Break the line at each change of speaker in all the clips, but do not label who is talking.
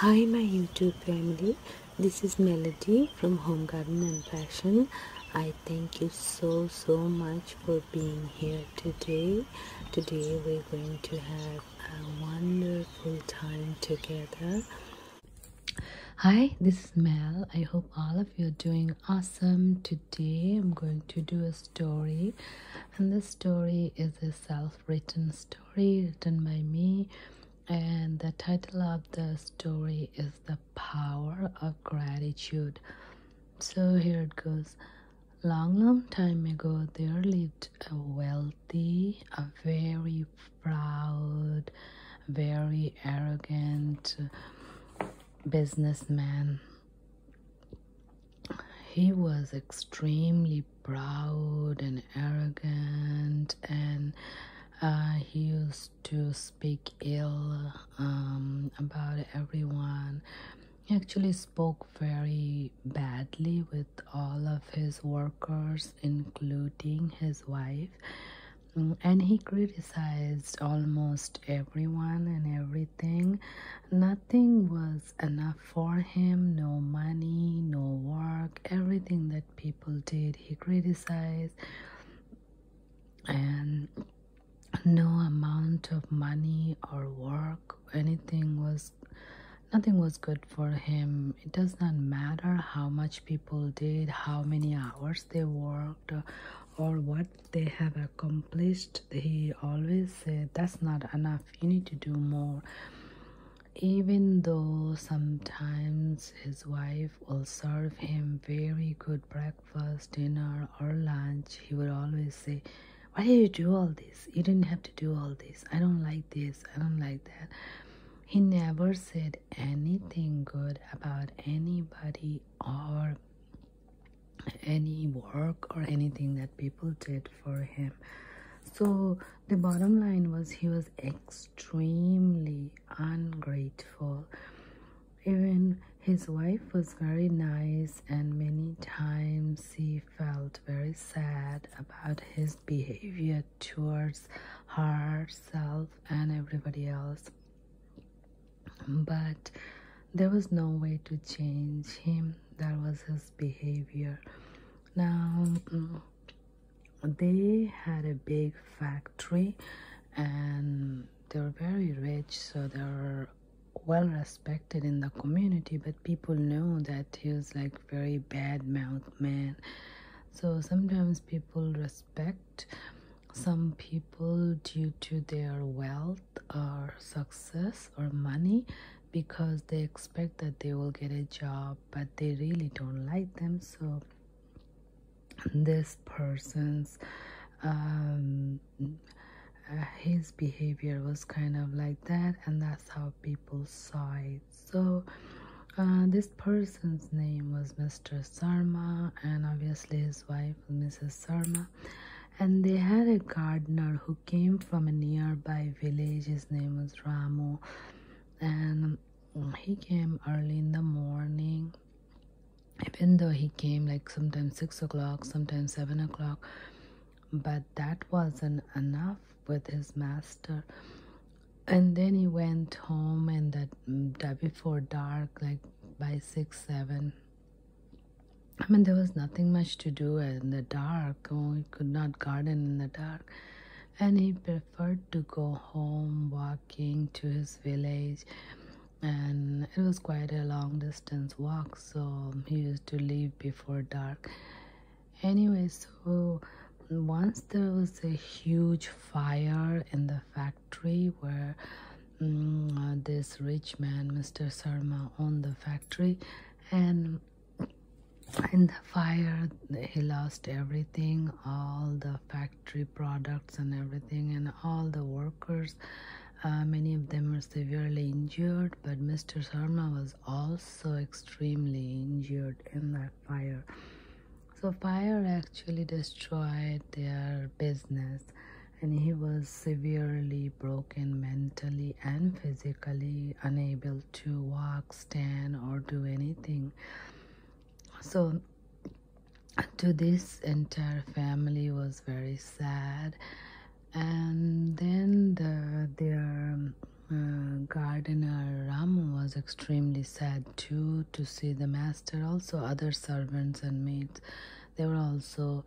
Hi my YouTube family, this is Melody from Home Garden and Fashion. I thank you so so much for being here today. Today we're going to have a wonderful time together. Hi, this is Mel. I hope all of you are doing awesome. Today I'm going to do a story and this story is a self-written story written by me and the title of the story is the power of gratitude so here it goes long long time ago there lived a wealthy a very proud very arrogant businessman he was extremely proud and arrogant and uh, he used to speak ill um, about everyone he actually spoke very badly with all of his workers including his wife mm, and he criticized almost everyone and everything nothing was enough for him no money, no work, everything that people did, he criticized, and no amount of money or work, anything was nothing was good for him. It does not matter how much people did, how many hours they worked, or what they have accomplished. He always said, That's not enough, you need to do more even though sometimes his wife will serve him very good breakfast, dinner, or lunch, he would always say, Why did you do all this? You didn't have to do all this. I don't like this. I don't like that. He never said anything good about anybody or any work or anything that people did for him. So the bottom line was he was extremely ungrateful. Even his wife was very nice, and many times he felt very sad about his behavior towards herself and everybody else. But there was no way to change him, that was his behavior now mm, they had a big factory and they were very rich so they were well respected in the community but people know that he was like very bad mouth man so sometimes people respect some people due to their wealth or success or money because they expect that they will get a job but they really don't like them so this person's um, uh, his behavior was kind of like that and that's how people saw it so uh, this person's name was Mr. Sarma and obviously his wife Mrs. Sarma and they had a gardener who came from a nearby village. His name was Ramu, and he came early in the morning. Even though he came like sometimes six o'clock, sometimes seven o'clock, but that wasn't enough with his master. And then he went home, and that, mm, that before dark, like by six, seven. I mean, there was nothing much to do in the dark he could not garden in the dark, and he preferred to go home walking to his village. And it was quite a long distance walk, so he used to leave before dark. Anyway, so once there was a huge fire in the factory where mm, uh, this rich man, Mr. Sarma, owned the factory, and in the fire he lost everything all the factory products and everything and all the workers uh, many of them were severely injured but mr sharma was also extremely injured in that fire so fire actually destroyed their business and he was severely broken mentally and physically unable to walk, stand, or do anything. So, to this entire family was very sad. And then the, their uh, gardener Ram was extremely sad too to see the master. Also, other servants and maids, they were also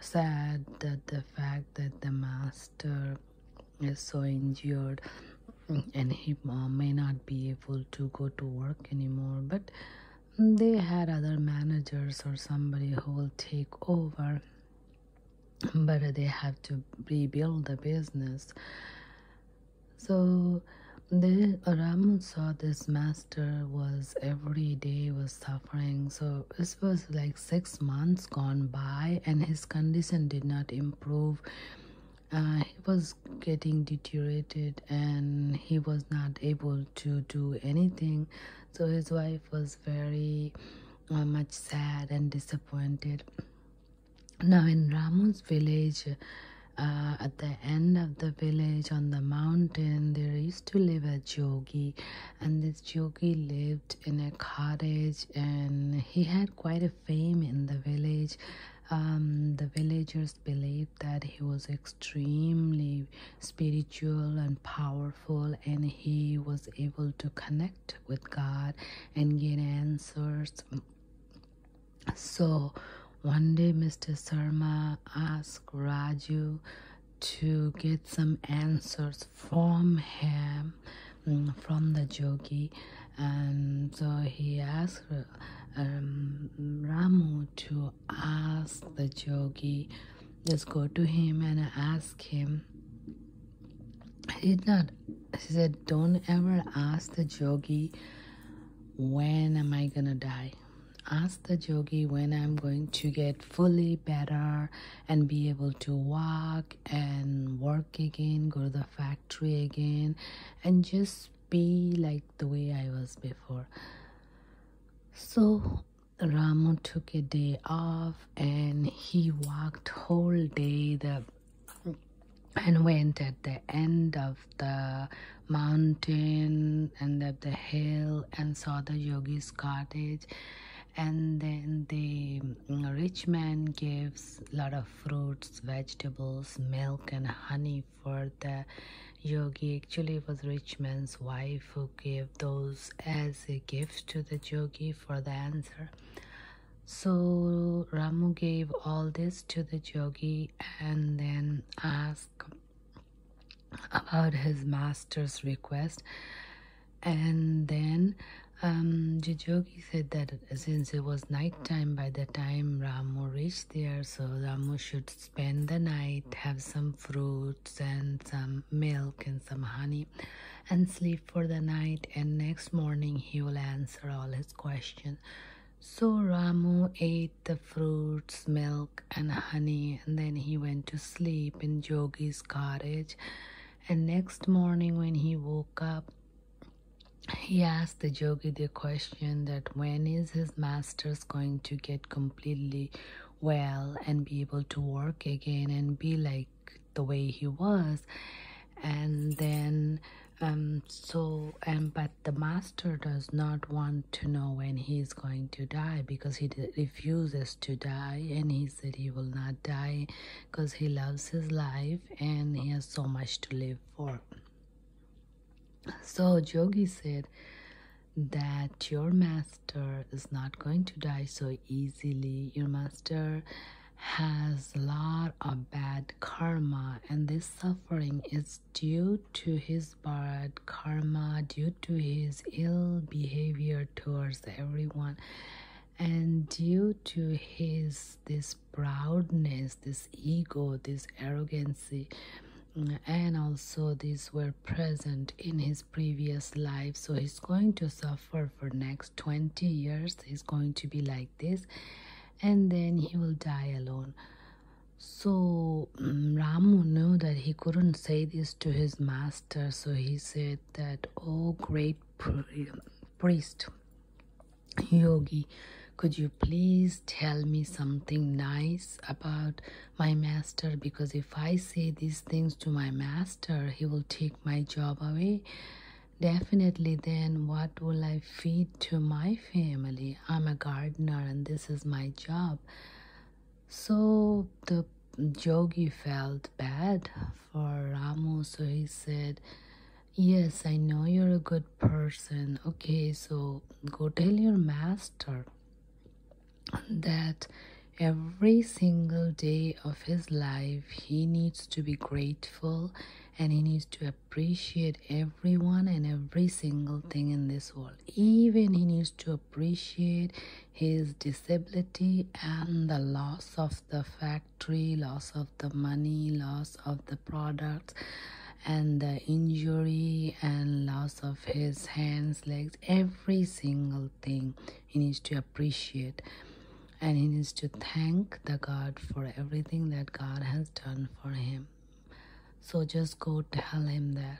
sad that the fact that the master is so injured and he uh, may not be able to go to work anymore but they had other managers or somebody who will take over but they have to rebuild the business so the Ramu saw this master was every day was suffering so this was like six months gone by and his condition did not improve uh, he was getting deteriorated and he was not able to do anything so his wife was very uh, much sad and disappointed now in ramu's village uh, at the end of the village on the mountain there used to live a jogi, and this jogi lived in a cottage and he had quite a fame in the village. Um, the villagers believed that he was extremely spiritual and powerful, and he was able to connect with God and get answers. So one day, Mr. Sarma asked Raju to get some answers from him Mm, from the jogi, and so he asked um, Ramu to ask the jogi. just go to him and ask him he did not he said don't ever ask the jogi. when am I gonna die ask the jogi when I'm going to get fully better and be able to walk and work again go to the factory again and just be like the way i was before so Ramu took a day off and he walked whole day the and went at the end of the mountain and up the hill and saw the yogi's cottage and then the mm, rich man gives a lot of fruits vegetables milk and honey for the yogi actually it was rich man's wife who gave those as a gift to the yogi for the answer so ramu gave all this to the yogi and then asked about his master's request and then um, Jijogi said that since it was nighttime by the time Ramu reached there, so Ramu should spend the night, have some fruits and some milk and some honey, and sleep for the night. And next morning he will answer all his questions. So Ramu ate the fruits, milk, and honey, and then he went to sleep in Jogi's cottage. And next morning, when he woke up, he asked the yogi the question that when is his master's going to get completely well and be able to work again and be like the way he was and then um so and um, but the master does not want to know when he is going to die because he refuses to die and he said he will not die because he loves his life and he has so much to live for. So Jogi said that your master is not going to die so easily. Your master has a lot of bad karma and this suffering is due to his bad karma due to his ill behavior towards everyone and due to his this proudness this ego this arrogancy mm, and also these were present in his previous life so he's going to suffer for next 20 years he's going to be like this and then he will die alone so mm, Ramu knew that he couldn't say this to his master, so he said that, Oh great priest yogi could you please tell me something nice about my master because if i say these things to my master he will take my job away definitely then what will i feed to my family i'm a gardener and this is my job so the yogi felt bad for Ramo, so he said, Yes, I know you're a good person. Okay, so go tell your master that every single day of his life he needs to be grateful and he needs to appreciate everyone and every single thing in this world even he needs to appreciate his disability and the loss of the factory, loss of the money, loss of the products, and the injury and loss of his hands, legs, every single thing he needs to appreciate and he needs to thank the God for everything that God has done for him. So just go tell him that.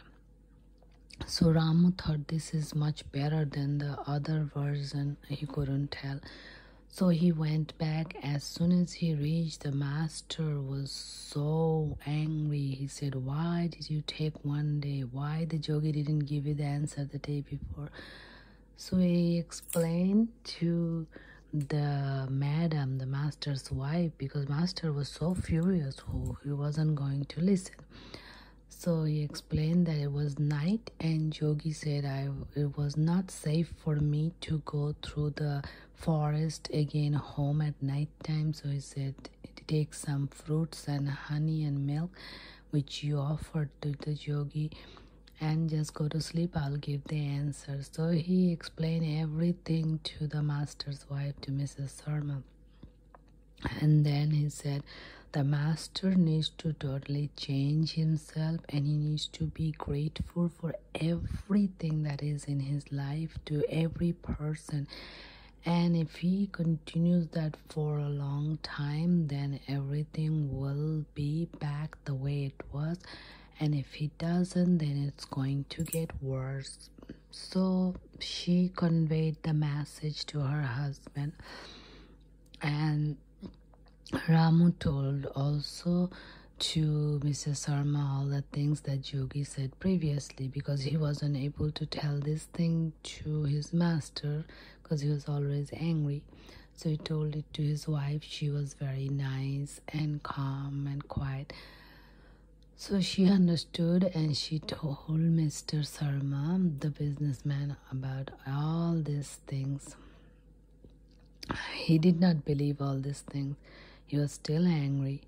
So Ramu thought this is much better than the other version he couldn't tell. So he went back. As soon as he reached, the master was so angry. He said, Why did you take one day? Why the jogi didn't give you the answer the day before? So he explained to the madam, the master's wife, because master was so furious, who he wasn't going to listen. So he explained that it was night, and Yogi said, I, It was not safe for me to go through the forest again home at night time. So he said, Take some fruits and honey and milk, which you offered to the yogi, and just go to sleep. I'll give the answer. So he explained everything to the master's wife, to Mrs. Sharma. And then he said, the master needs to totally change himself and he needs to be grateful for everything that is in his life to every person and if he continues that for a long time then everything will be back the way it was and if he doesn't then it's going to get worse so she conveyed the message to her husband and Ramu told also to Mrs. Sarma all the things that Yogi said previously because he was unable to tell this thing to his master because he was always angry. So he told it to his wife. She was very nice and calm and quiet. So she understood and she told Mr. Sarma, the businessman, about all these things. He did not believe all these things. He was still angry.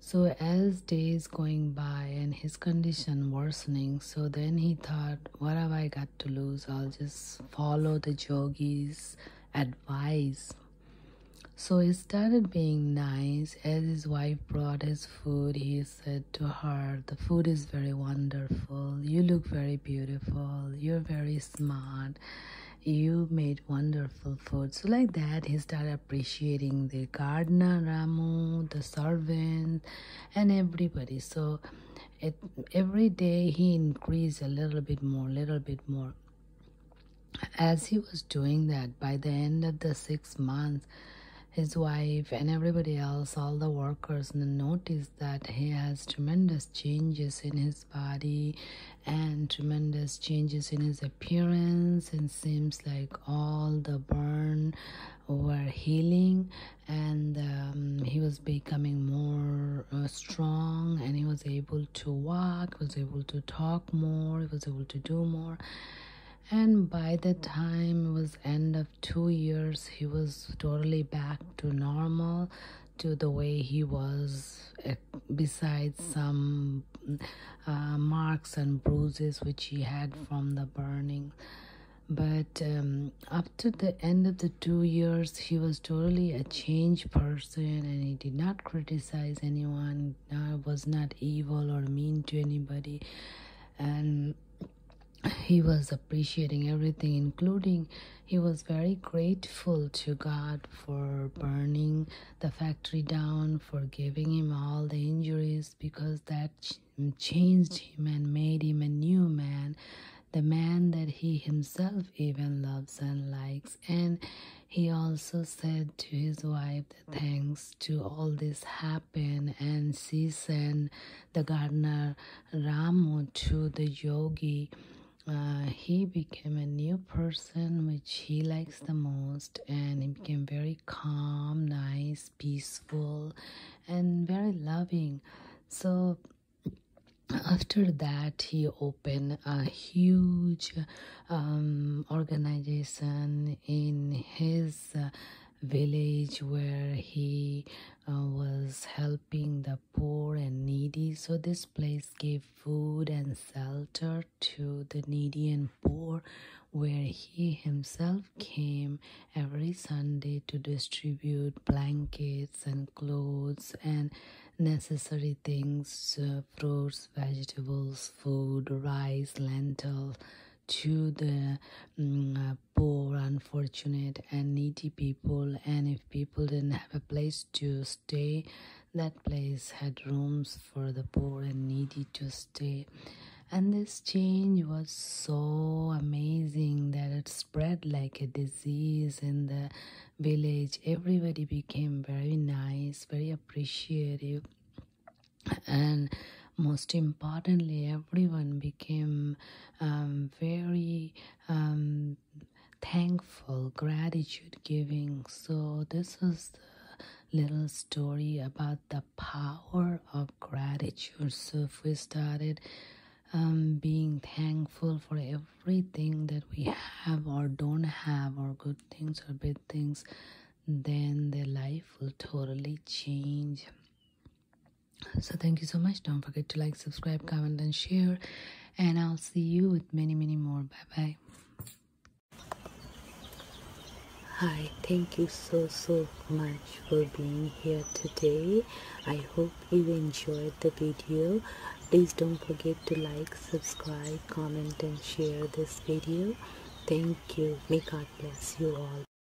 So as days going by and his condition worsening, so then he thought, what have I got to lose? I'll just follow the yogi's advice. So he started being nice. As his wife brought his food, he said to her, The food is very wonderful. You look very beautiful. You're very smart. You made wonderful food. So, like that, he started appreciating the gardener, Ramu, the servant, and everybody. So, it, every day he increased a little bit more, little bit more. As he was doing that, by the end of the six months, his wife and everybody else all the workers noticed that he has tremendous changes in his body and tremendous changes in his appearance and seems like all the burn were healing and um, he was becoming more uh, strong and he was able to walk was able to talk more was able to do more and by the time it was end of two years, he was totally back to normal, to the way he was, eh, besides some uh, marks and bruises which he had from the burning. But um, up to the end of the two years, he was totally a changed person and he did not criticize anyone, uh, was not evil or mean to anybody. And he was appreciating everything, including he was very grateful to God for burning the factory down, for giving him all the injuries, because that changed him and made him a new man, the man that he himself even loves and likes. And he also said to his wife thanks to all this happening, and she sent the gardener Ramu to the yogi. Uh, he became a new person which he likes the most and he became very calm, nice, peaceful and very loving. So after that he opened a huge um, organization in his uh, village where he uh, was helping the poor and needy. So this place gave food and shelter to the needy and poor where he himself came every Sunday to distribute blankets and clothes and necessary things, uh, fruits, vegetables, food, rice, lentils to the mm, uh, poor, unfortunate, and needy people, and if people didn't have a place to stay, that place had rooms for the poor and needy to stay. And this change was so amazing that it spread like a disease in the village. Everybody became very nice, very appreciative, and most importantly, everyone became um, very um, thankful, gratitude giving. So, this is the little story about the power of gratitude. So, if we started um, being thankful for everything that we have or don't have, or good things or bad things, then the life will totally change so thank you so much don't forget to like subscribe comment and share and i'll see you with many many more bye bye Hi, thank you so so much for being here today. I hope you enjoyed the video. Please don't forget to like, subscribe, comment and share this video. Thank you. May God bless you all.